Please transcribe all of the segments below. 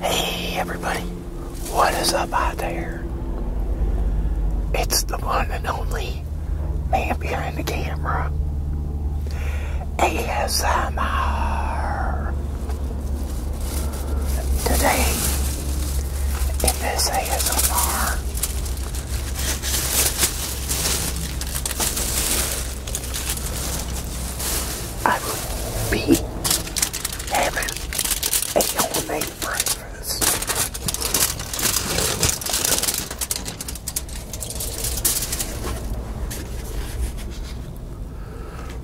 Hey everybody, what is up out there? It's the one and only man behind the camera. ASMR. Today, in this ASMR, I would be having a homemade breakfast.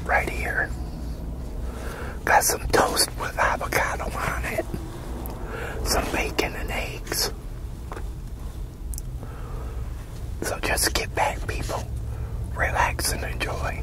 Right here. Got some toast with avocado on it. Some bacon and eggs. So just get back, people. Relax and enjoy.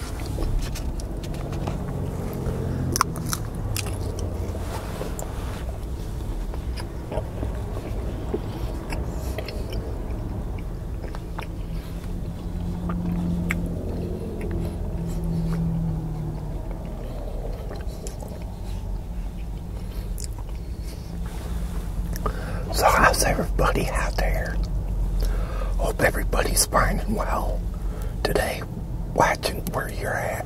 So how's everybody out there? Hope everybody's fine and well today watching where you're at.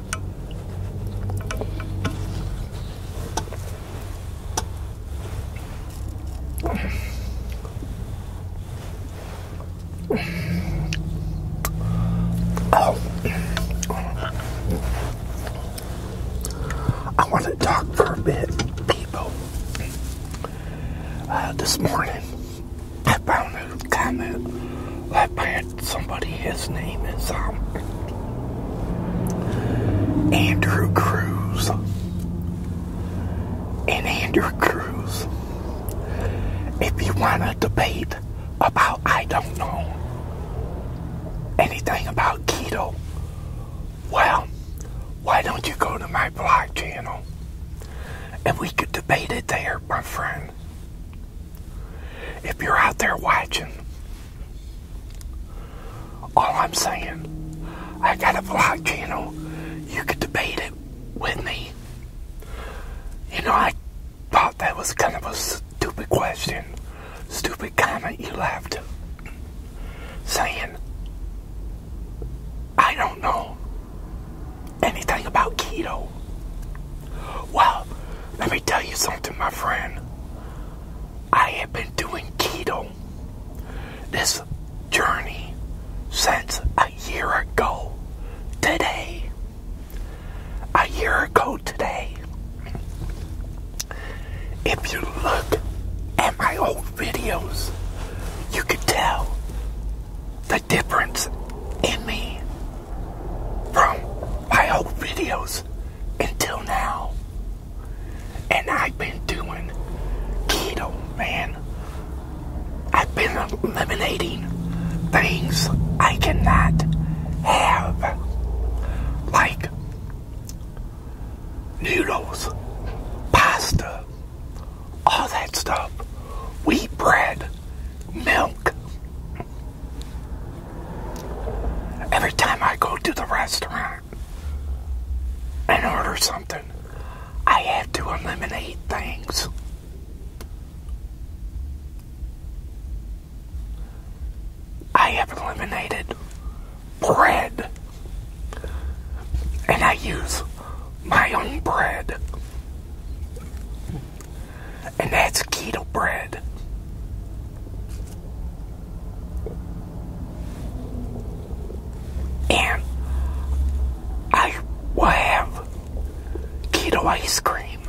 I want to talk for a bit, people. Uh, this morning, I found a comment left by somebody. His name is um, Andrew Cruz. And Andrew Cruz, if you want to debate about, I don't know, anything about keto, well, why don't you go to my blog channel? And we could debate it there, my friend. If you're out there watching, all I'm saying, I got a vlog channel. You could debate it with me. You know, I thought that was kind of a stupid question, stupid comment you left, saying, I don't know anything about keto. Well, let me tell you something, my friend. I have been doing keto this journey since a year ago today. A year ago today. If you look at my old videos, you could tell that difference in me from my old videos until now. And I've been doing keto, man. I've been eliminating things I cannot have. Like noodles, pasta, all that stuff, wheat bread, milk, Every time I go to the restaurant and order something, I have to eliminate things. I have eliminated bread. And I use my own bread and that's keto bread. And I will have keto ice cream,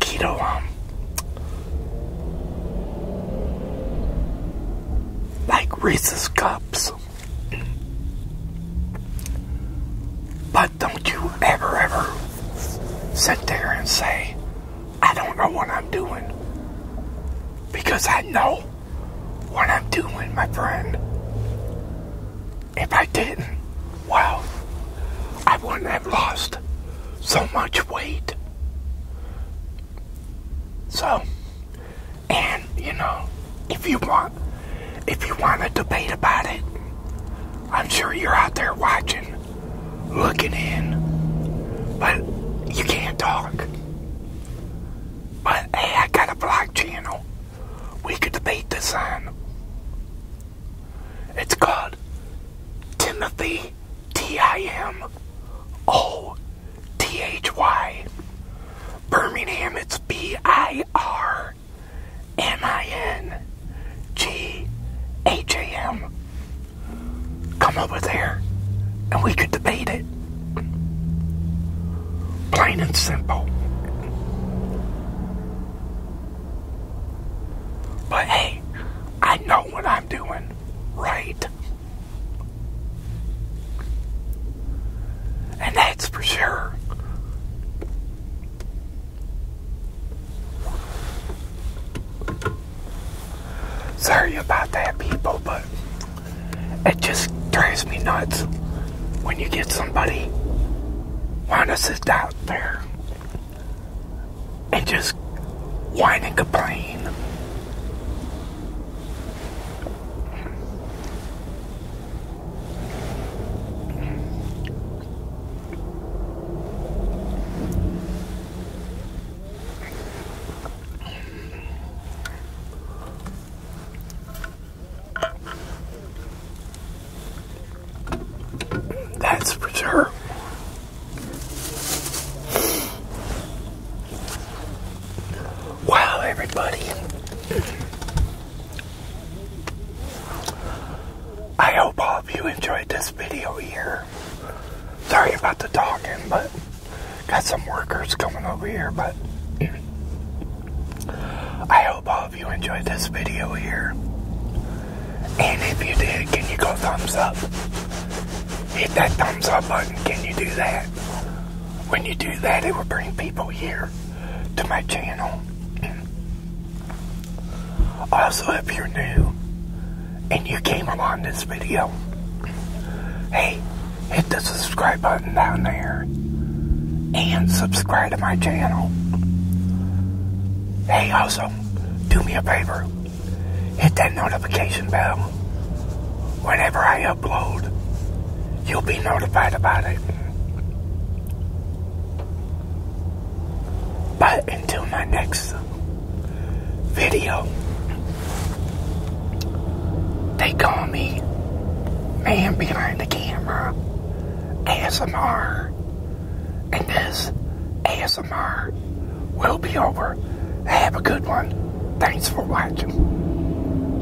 keto um, like Reese's cups. But don't you ever, ever sit there and say, I don't know what I'm doing. Because I know what I'm doing, my friend. If I didn't, well, I wouldn't have lost so much weight. So, and, you know, if you want, if you want to debate about it. I'm sure you're out there watching, looking in, but you can't talk. But hey, I got a blog channel. We could debate this on. It's called Timothy T I M O T H Y. Birmingham, it's B I R R M I N G H A M. Come over there and we could debate it. Plain and simple. But hey, I know what I'm doing, right? And that's for sure. Sorry about that, people, but it just drives me nuts when you get somebody want to sit out there and just whine and complain. That's for sure. Wow, everybody. I hope all of you enjoyed this video here. Sorry about the talking, but got some workers coming over here, but I hope all of you enjoyed this video here. And if you did, can you go thumbs up? Hit that thumbs up button. Can you do that? When you do that, it will bring people here to my channel. Also, if you're new and you came along this video, hey, hit the subscribe button down there and subscribe to my channel. Hey, also, do me a favor, hit that notification bell whenever I upload, you'll be notified about it. But until my next video, they call me Man Behind the Camera ASMR. And this ASMR will be over. Have a good one. Thanks for watching.